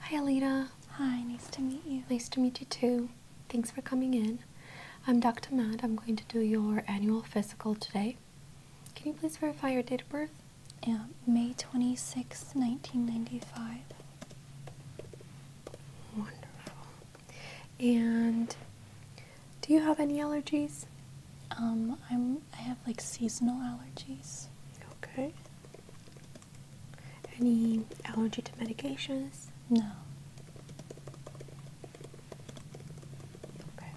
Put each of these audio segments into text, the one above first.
Hi, Alita. Hi, nice to meet you. Nice to meet you too. Thanks for coming in. I'm Dr. Matt. I'm going to do your annual physical today. Can you please verify your date of birth? Yeah, May 26, 1995. Wonderful. And do you have any allergies? Um, I'm I have like seasonal allergies. Okay. Any allergy to medications? No. Okay.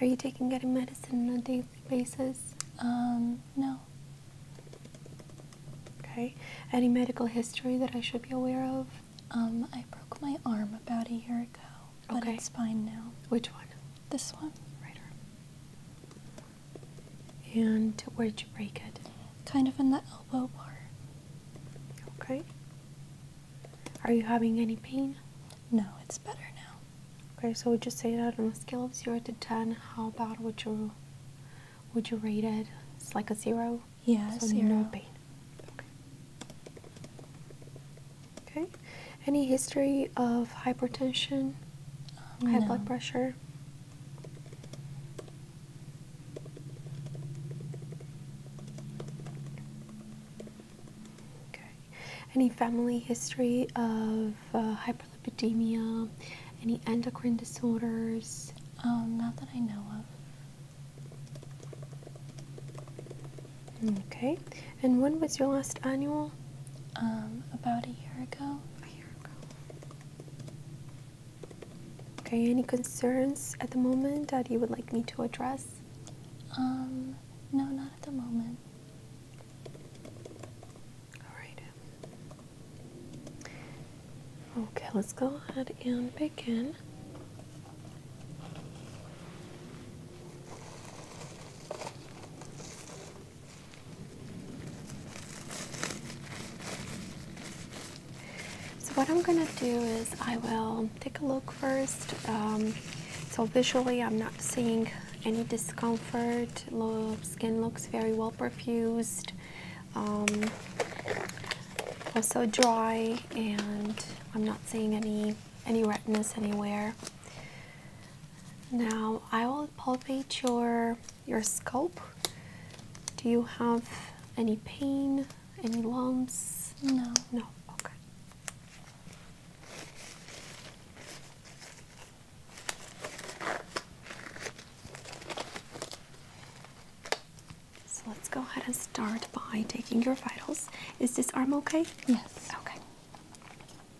Are you taking any medicine on a daily basis? Um, no. Okay. Any medical history that I should be aware of? Um, I broke my arm about a year ago, but it's fine now. Which one? This one. Right arm. And where'd you break it? Kind of in the elbow bar. Okay. Are you having any pain? No, it's better now. Okay, so would you say that on a scale of zero to ten, how bad would you would you rate it? It's like a zero. Yeah, zero. pain. Okay. Any history of hypertension, um, high blood pressure? Okay. Any family history of uh, hyperlipidemia? Any endocrine disorders? Um, not that I know of. Okay. And when was your last annual? Um, about a year ago. Okay, any concerns at the moment that you would like me to address? Um, no, not at the moment. Alright. Okay, let's go ahead and begin. So what I'm going to do is I will take a look first. Um, so visually I'm not seeing any discomfort. Lo skin looks very well perfused. Um, also dry and I'm not seeing any any redness anywhere. Now I will palpate your your scalp. Do you have any pain? Any lumps? No. No. Okay. So let's go ahead and start by taking your vitals. Is this arm okay? Yes. Okay.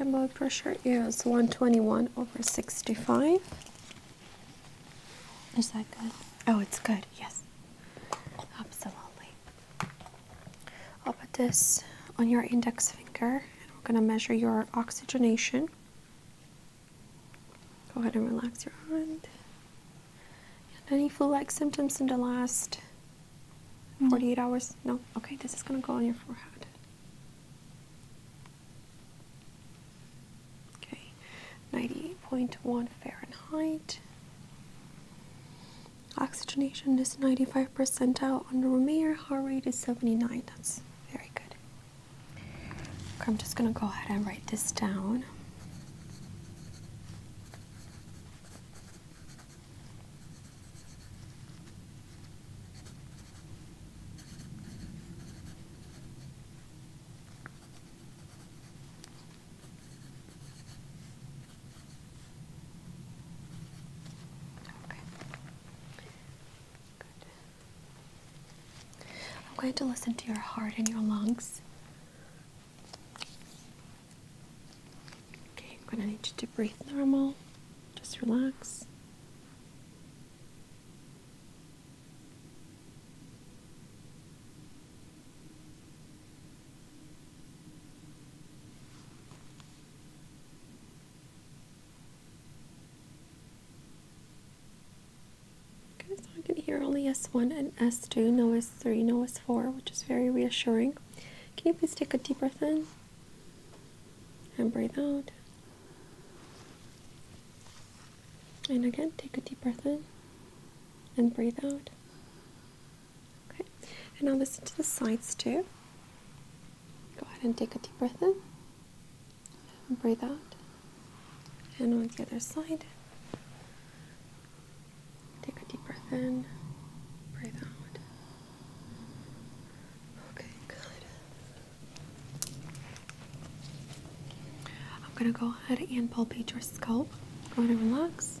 Okay, blood pressure is 121 over 65. Is that good? Oh, it's good, yes. Absolutely. I'll put this on your index finger and we're going to measure your oxygenation. Go ahead and relax your hand. any flu like symptoms in the last mm-hmm. 48 hours? No? Okay, this is going to go on your forehead. Okay, 98.1 Fahrenheit. Oxygenation is 95 percentile on the Romeyer. Heart rate is 79. That's very good. Okay, I'm just going to go ahead and write this down. I'm going to listen to your heart and your lungs. Okay, I'm going to need you to breathe normal. Just relax. Okay, so I can hear only S1 and S2, no S3, no S4, which is very reassuring. Can you please take a deep breath in and breathe out? And again, take a deep breath in and breathe out. Okay, and now listen to the sides too. Go ahead and take a deep breath in and breathe out. And on the other side, take a deep breath in, breathe out. Okay, good. I'm gonna go ahead and palpate your scalp. Go ahead and relax.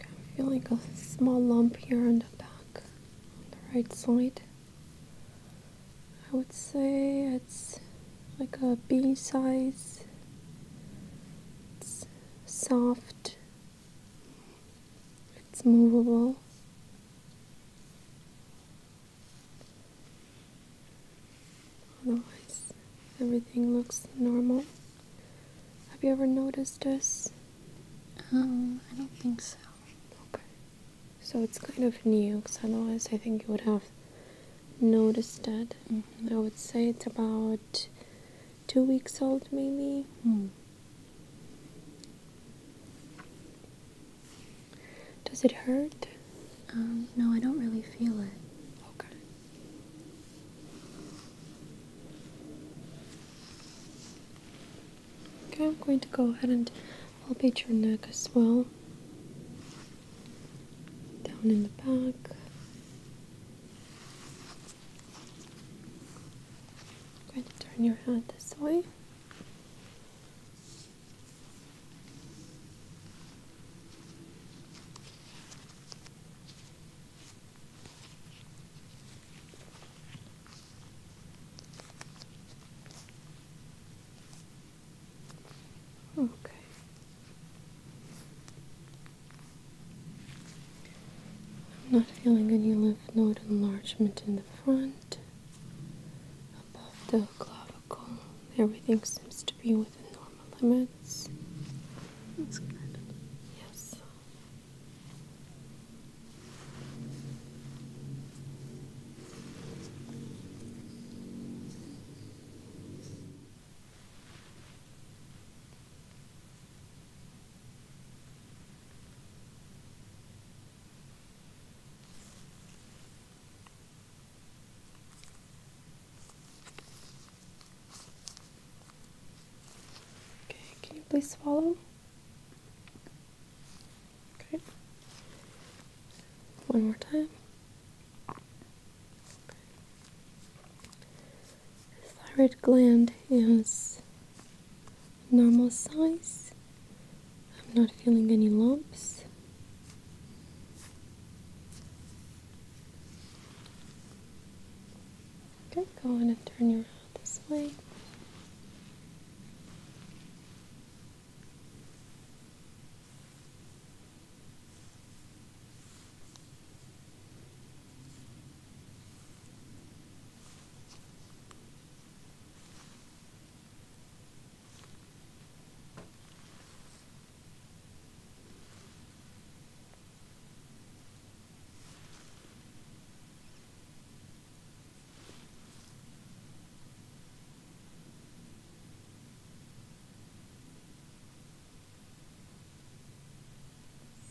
I feel like a small lump here on the back, on the right side. I would say it's like a B size. It's soft it's movable. Otherwise, oh, everything looks normal. Have you ever noticed this? Um, I don't think so. Okay. So it's kind of new, because otherwise I think you would have noticed that. Mm-hmm. I would say it's about two weeks old, maybe. Hmm. Does it hurt? Um, no, I don't really feel it. Okay. Okay, I'm going to go ahead and palpate your neck as well. Down in the back. I'm going to turn your head this way. Okay. I'm not feeling any lymph node enlargement in the front, above the clavicle. Everything seems to be within normal limits. That's good. Yes. Okay, can you please swallow? Okay. One more time. thyroid gland is normal size. I'm not feeling any lumps. Okay, go on and turn your head this way.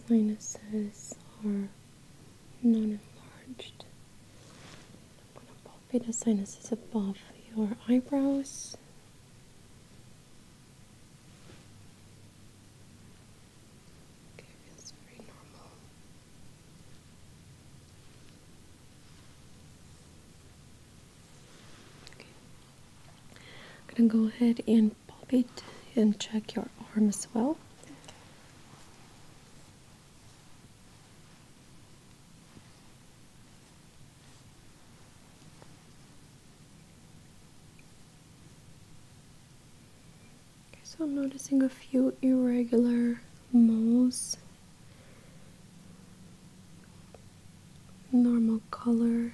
Sinuses are non enlarged. i sinuses above your eyebrows. Okay, feels very normal. Okay. I'm going to go ahead and palpate and check your arm as well so I'm noticing a few irregular moles. Normal color.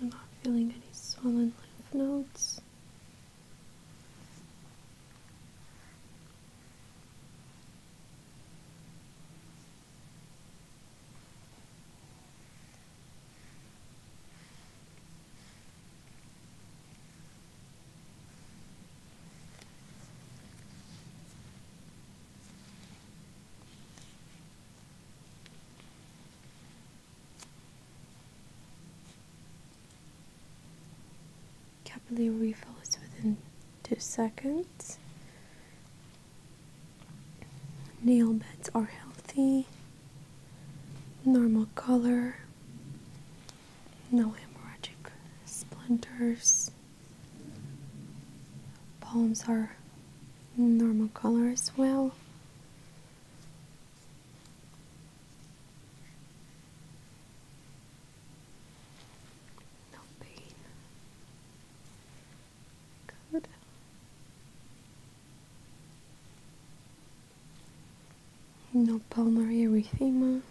I'm not feeling any swollen lymph nodes. Capillary refill is within two seconds. Nail beds are healthy, normal color, no hemorrhagic splinters. Palms are normal color as well. No pain. Good. No pulmonary erythema.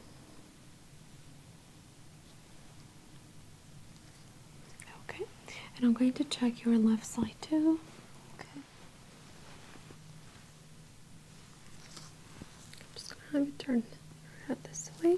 Okay, and I'm going to check your left side too. Okay. I'm just gonna have you turn your head this way.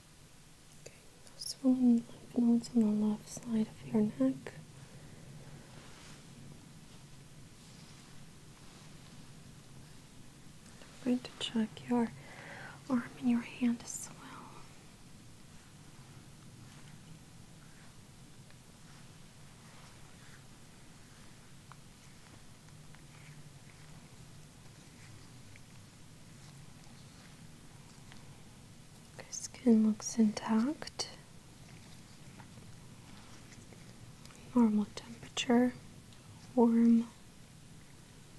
Okay, those swollen lymph nodes on the left side of your neck. I'm going to check your arm and your hand as well. Your skin looks intact. Normal temperature, warm,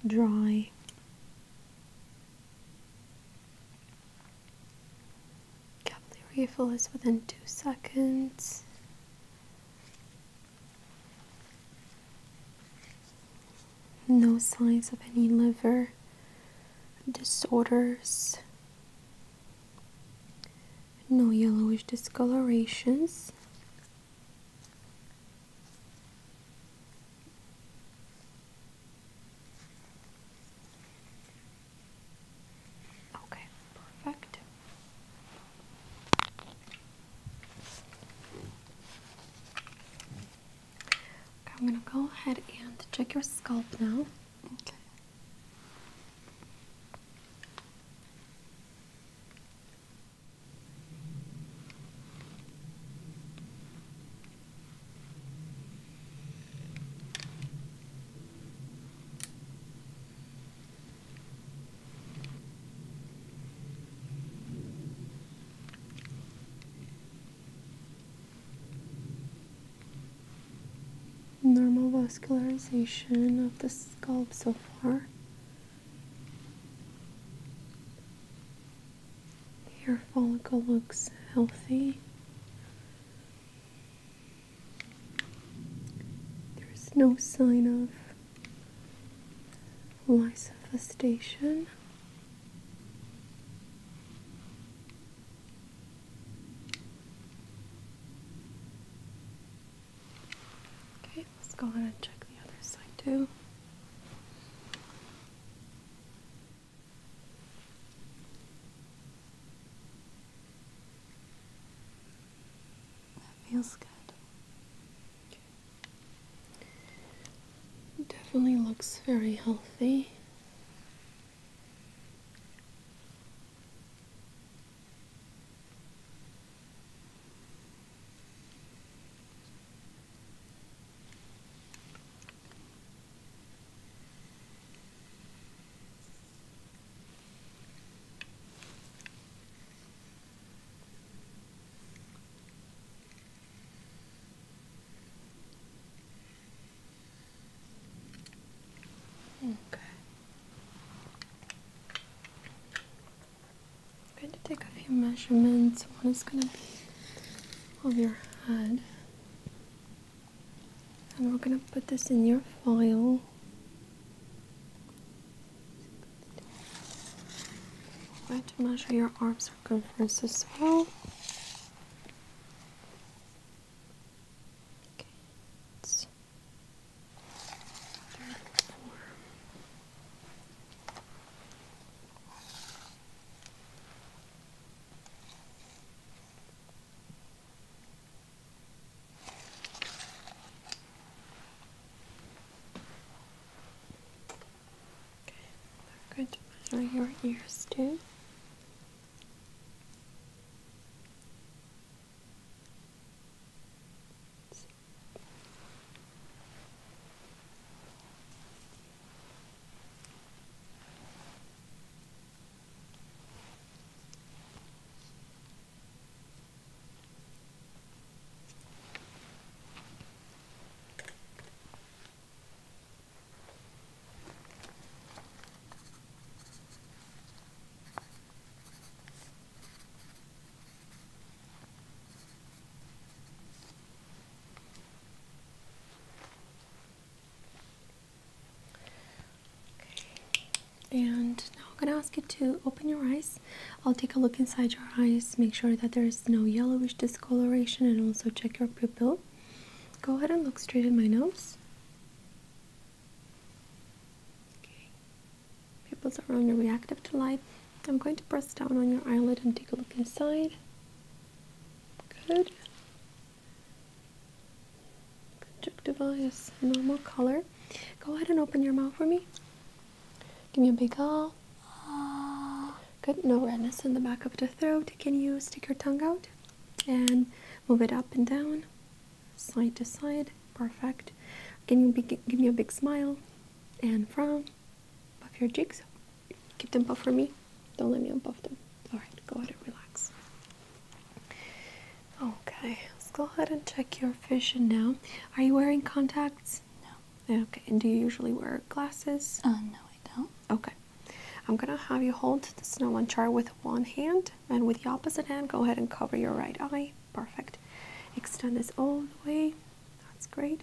dry. Capillary refill is within two seconds. No signs of any liver disorders. No yellowish discolorations. Okay, perfect. I'm gonna go ahead and check your scalp now. Okay normal vascularization of the scalp so far. Hair follicle looks healthy. There's no sign of lysophistation. Okay, let's go ahead and check the other side too. That feels good. Definitely looks very healthy. Okay. I'm going to take a few measurements. One is going to be of your head. And we're going to put this in your file. We're going to measure your arms circumference as well. Okay, I'm going to measure your ears too. And now I'm gonna ask you to open your eyes. I'll take a look inside your eyes, make sure that there is no yellowish disc Coloration and also check your pupil. Go ahead and look straight at my nose. Okay. Pupils are on, reactive to light. I'm going to press down on your eyelid and take a look inside. Good. Conjunctiva is normal color. Go ahead and open your mouth for me. Give me a big ah. Good, no redness in the back of the throat. Can you stick your tongue out and move it up and down, side to side? Perfect. Can you give me a big smile and frown? Puff your cheeks. Keep them puffed for me. Don't let me unpuff them. All right, go ahead and relax. Okay, let's go ahead and check your vision now. Are you wearing contacts? No. Okay, and do you usually wear glasses? Uh, no, I don't. Okay. I'm going to have you hold the snowman chart with one hand, and with the opposite hand, go ahead and cover your right eye. Perfect. Extend this all the way. That's great.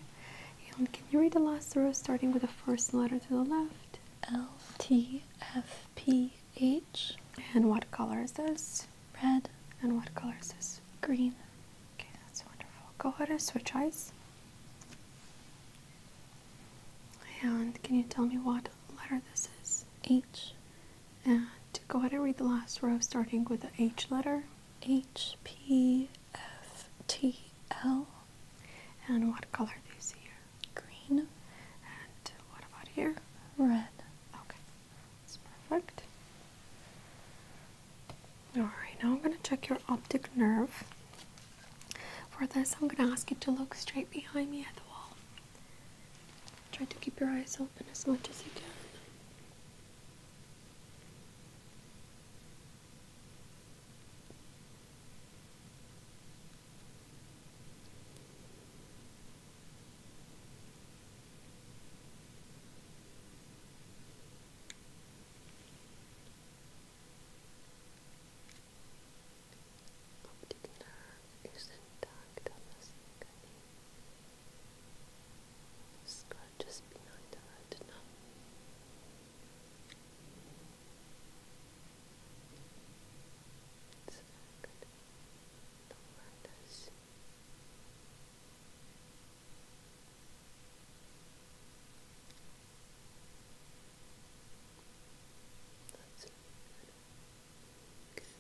And can you read the last row, starting with the first letter to the left? L T F P H. And what color is this? Red. And what color is this? Green. Okay, that's wonderful. Go ahead and switch eyes. And can you tell me what letter this is? H. And go ahead and read the last row starting with the H letter. H, P, F, T, L. And what color do you see here? Green. And what about here? Red. Okay, that's perfect. Alright, now I'm going to check your optic nerve. For this, I'm going to ask you to look straight behind me at the wall. Try to keep your eyes open as much as you can. Optic nerve is intact on the skin. Scratches behind the retina. It's very good. The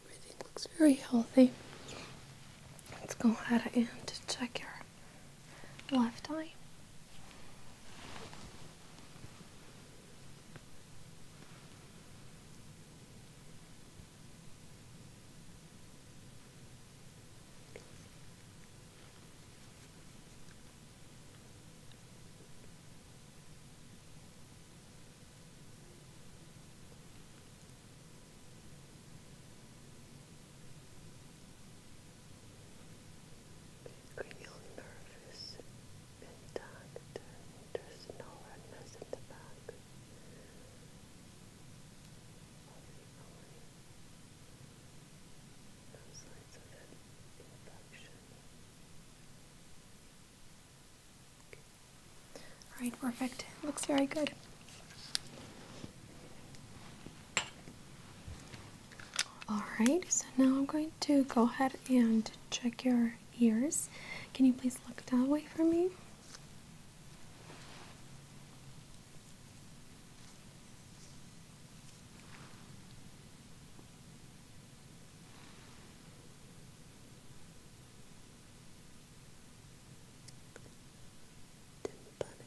Everything looks very healthy. Let's go ahead and check your left eye. Cranial nerve is intact and there's no redness in the back. All right, perfect. Looks very good. All right, so now I'm going to go ahead and check your ears. Can you please look that way for me?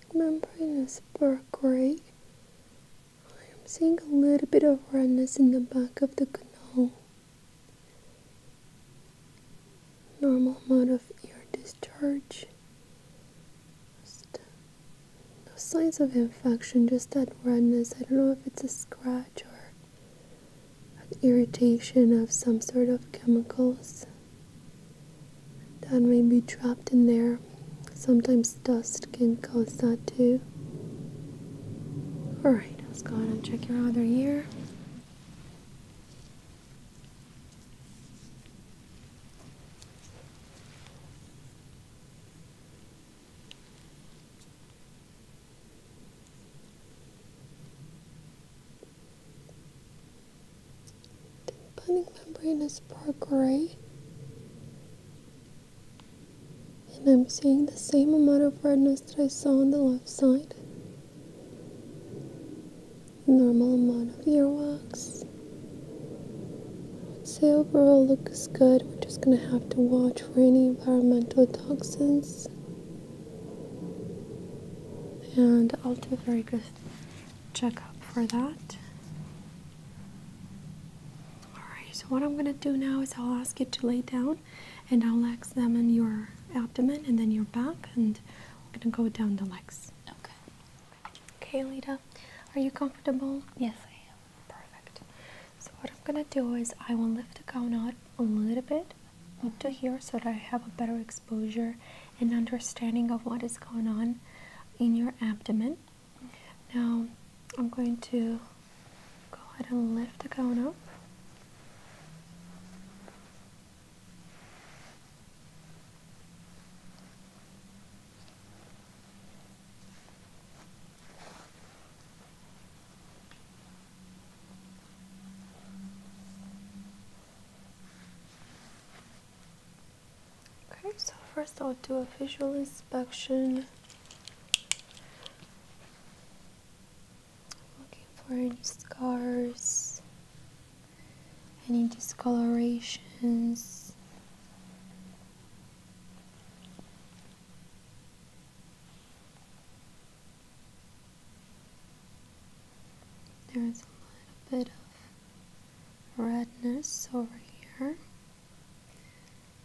Tympanic membrane is dark I am seeing a little bit of redness in the back of the canal. Normal amount of ear discharge this no signs of infection, just that redness. I don't know if it's a scratch or an irritation of some sort of chemicals that may be trapped in there. Sometimes dust can cause that too. Alright, let's go on and check your other ear. The tympanic membrane is part gray and I'm seeing the same amount of redness that I saw on the left side normal amount of earwax. Say overall looks good. We're just gonna have to watch for any environmental toxins. And I'll do a very good checkup for that. Alright, so what I'm gonna do now is I'll ask you to lay down and I'll examine your abdomen and then your back and I'm gonna go down the legs. Okay. Okay, Lita, are you comfortable? Yes, I am. Perfect. So what I'm gonna do is I will lift the gown up a little bit up to here so that I have a better exposure and understanding of what is going on in your abdomen. Now I'm going to go ahead and lift the gown up. Okay, so first I'll do a visual inspection. Looking for any scars any discolorations. There's a little bit of redness over here.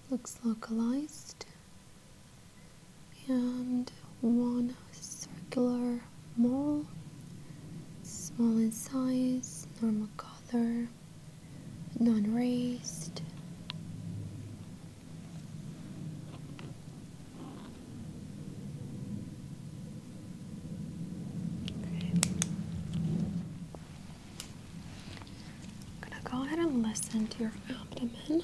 Looks localized. And one circular mole, small in size, normal color, non-raised. I'm gonna go ahead and listen to your abdomen.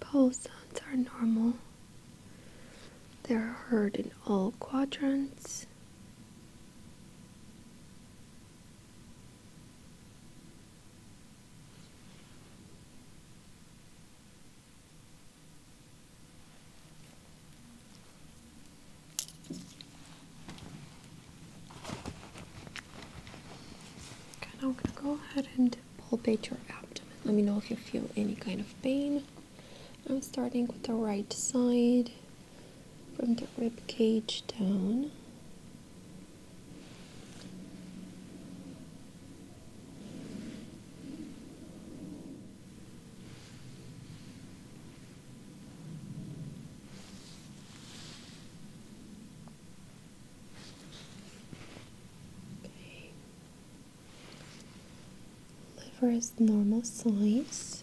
Pole sounds are normal. They are heard in all quadrants. Okay, now I'm gonna go ahead and palpate your abdomen. Let me know if you feel any kind of pain. I'm starting with the right side from the rib cage down. Liver is normal size.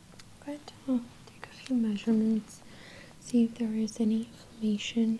Good. I'll take a few measurements, see if there is any inflammation.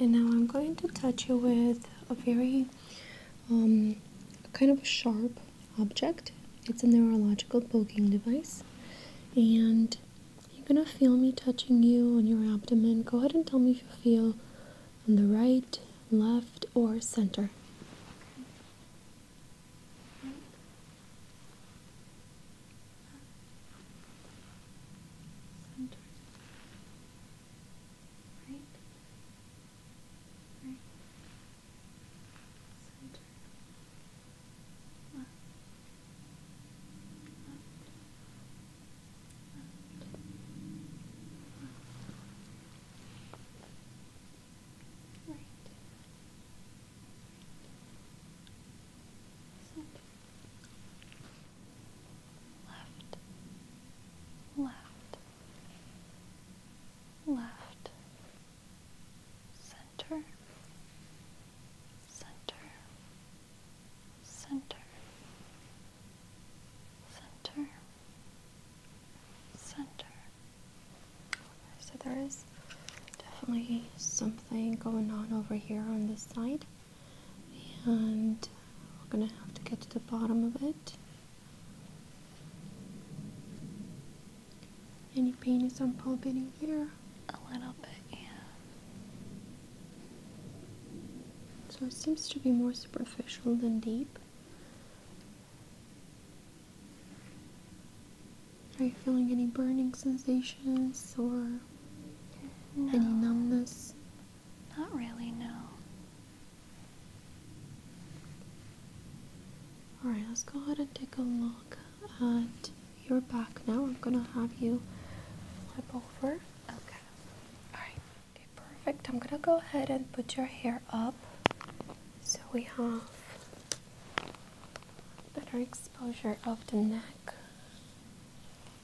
and now I'm going to touch you with a very um, kind of sharp object. It's a neurological poking device, and you're gonna feel me touching you on your abdomen. Go ahead and tell me if you feel on the right, left, or Center right, right, center, right, center left, left, left, center, center, center, center, center. So there is definitely something going on over here on this side and we're gonna have to get to the bottom of it. Any pain is on palpating here? A little bit, yeah. So it seems to be more superficial than deep. Are you feeling any burning sensations or any numbness? Not really, no. Alright, let's go ahead and take a look at your back now. I'm gonna have you flip over. Okay. Alright, okay, perfect. I'm gonna go ahead and put your hair up so we have better exposure of the neck.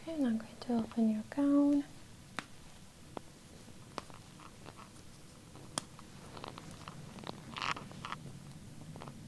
Okay, and I'm going to open your gown.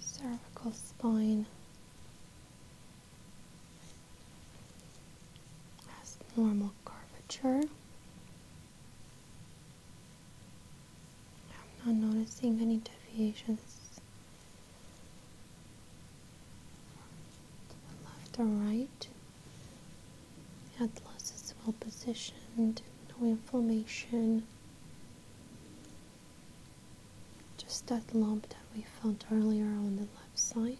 cervical spine has normal curvature. I'm not noticing any deviations to the left or right. Atlas is well positioned, no inflammation. Just that lump that we found earlier on the left side.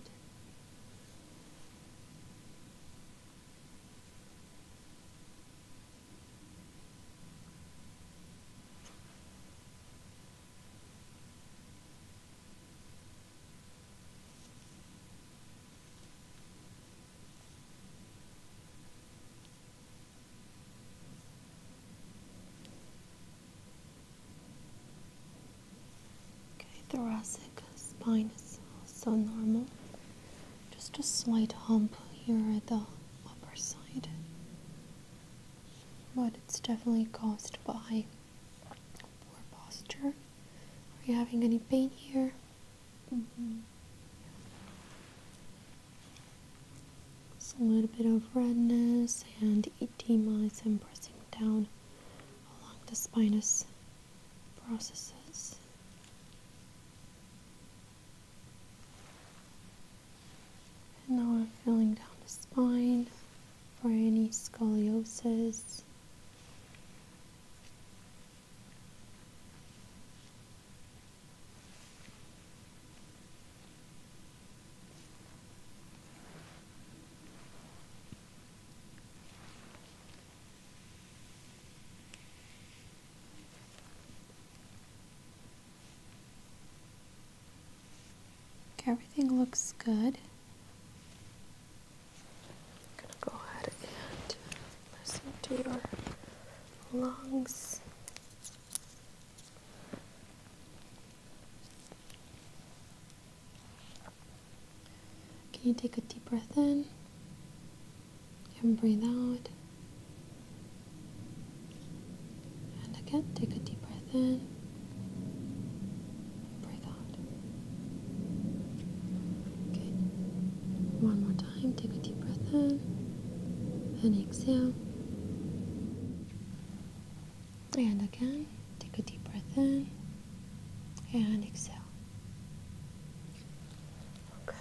Okay, thoracic spine is also normal. Just a slight hump here at the upper side. But it's definitely caused by poor posture. Are you having any pain here? Mm a little bit of redness and edema is pressing down along the spinous processes. And now I'm feeling down the spine for any scoliosis. Everything looks good. I'm gonna go ahead and listen to your lungs. Can you take a deep breath in and breathe out? And again, take a deep breath in breathe out. Good. One more time. Take a deep breath in and exhale. And again, take a deep breath in and exhale. Okay.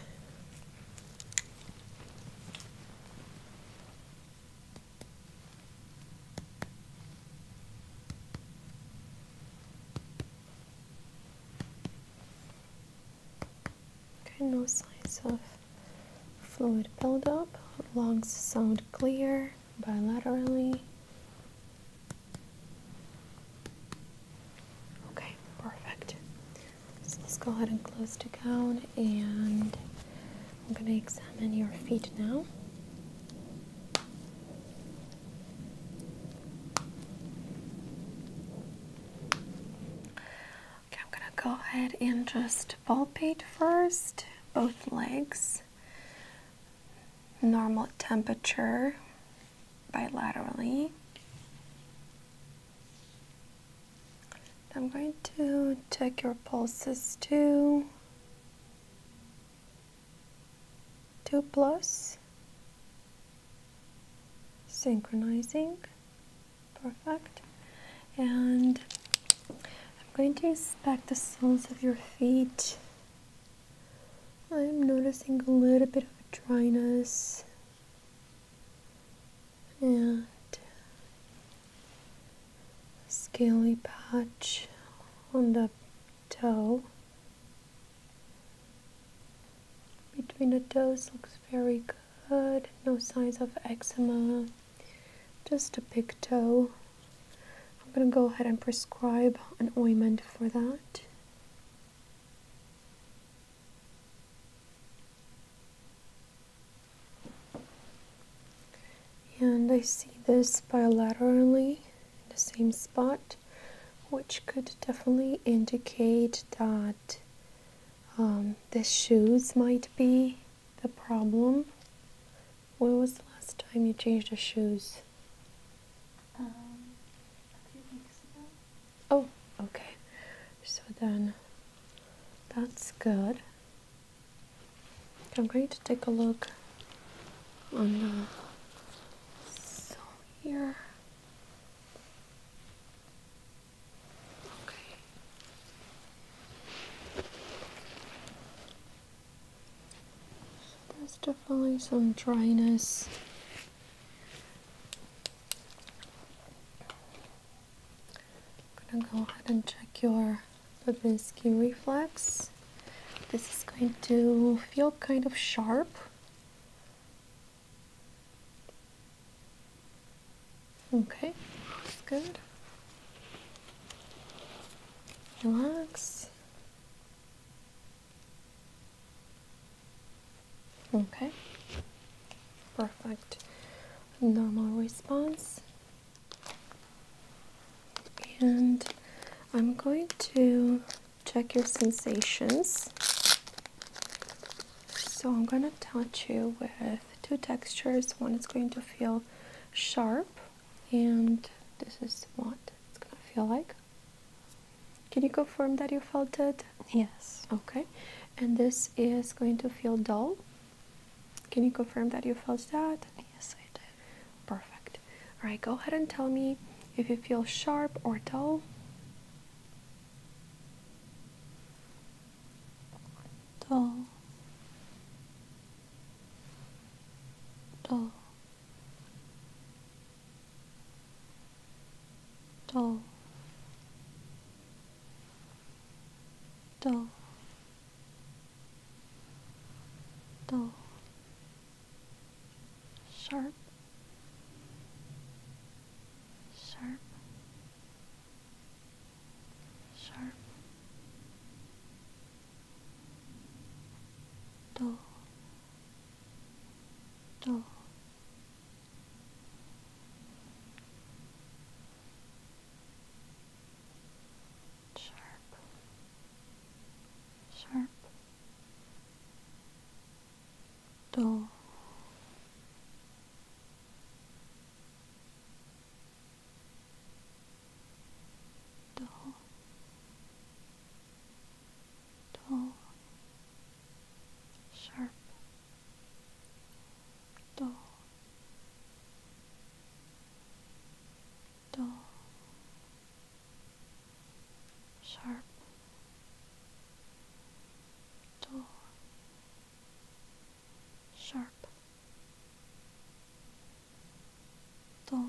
Okay, no signs of fluid buildup. Lungs sound clear bilaterally. Okay, perfect. So let's go ahead and close the gown and I'm going to examine your feet now. Okay, I'm gonna go ahead and just palpate first, both legs, normal temperature bilaterally. I'm going to check your pulses too. 2 plus synchronizing perfect and I'm going to inspect the soles of your feet I'm noticing a little bit of dryness and scaly patch on the toe. Between the toes looks very good. No signs of eczema. Just a big toe. I'm going to go ahead and prescribe an ointment for that. And I see this bilaterally the same spot which could definitely indicate that um, the shoes might be the problem. When was the last time you changed the shoes? Um, oh, okay. So then, that's good. I'm going to take a look on the sole here. Okay. there's definitely some dryness. I'm going to go ahead and check your Babinski reflex. This is going to feel kind of sharp. Okay, that's good. Relax. Okay, perfect. Normal response. And I'm going to check your sensations. So I'm going to touch you with two textures. One is going to feel sharp and this is what it's going to feel like. Can you confirm that you felt it? Yes. Okay. And this is going to feel dull. Can you confirm that you felt that? Yes, I did. Perfect. Alright, go ahead and tell me if you feel sharp or dull. Dull. Dull. Dull. Dull. Dull. Sharp sharp, sharp, dull, dull. Sharp, sharp, 또 또, 또, sharp, 또, 또, sharp dull sharp dull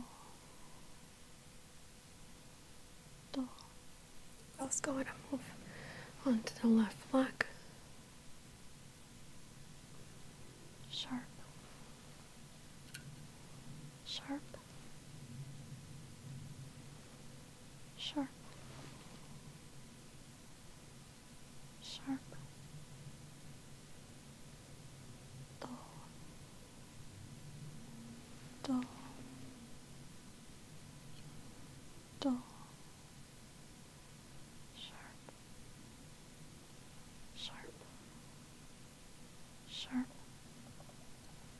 dull let's go and move on to the left leg sharp sharp, sharp, sharp, do, do, do, sharp, sharp, sharp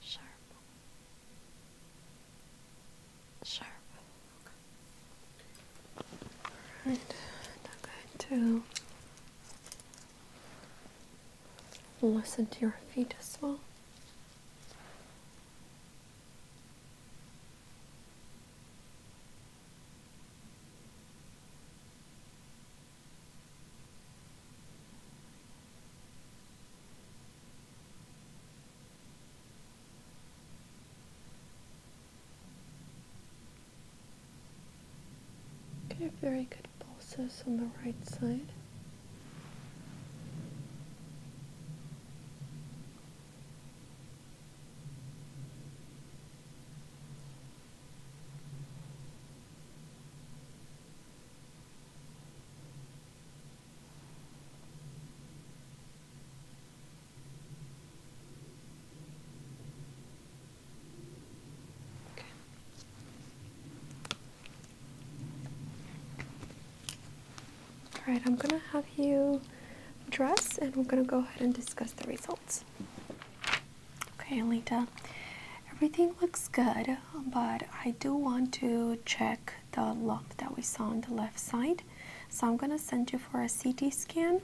Sharp. Sharp. Okay. Alright, I'm going to listen to your feet as well. Okay, very good pulses on the right side. All right, I'm going to have you dress and we're going to go ahead and discuss the results. Okay, Alita, everything looks good but I do want to check the lump that we saw on the left side. So I'm going to send you for a CT scan.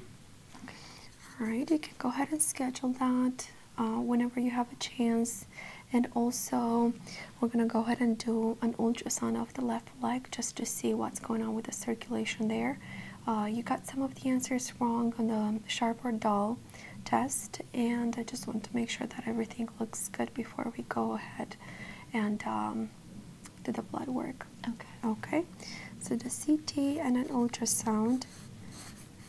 All right, you can go ahead and schedule that uh, whenever you have a chance. And also, we're going to go ahead and do an ultrasound of the left leg just to see what's going on with the circulation there. Uh, you got some of the answers wrong on the sharp or dull test and I just want to make sure that everything looks good before we go ahead and um, do the blood work. Okay. Okay. So the CT and an ultrasound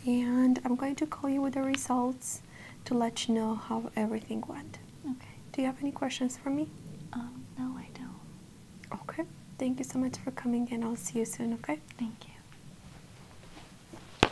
and I'm going to call you with the results to let you know how everything went. Okay. Do you have any questions for me? Um, no, I don't. Okay. Thank you so much for coming and I'll see you soon, okay? Thank you.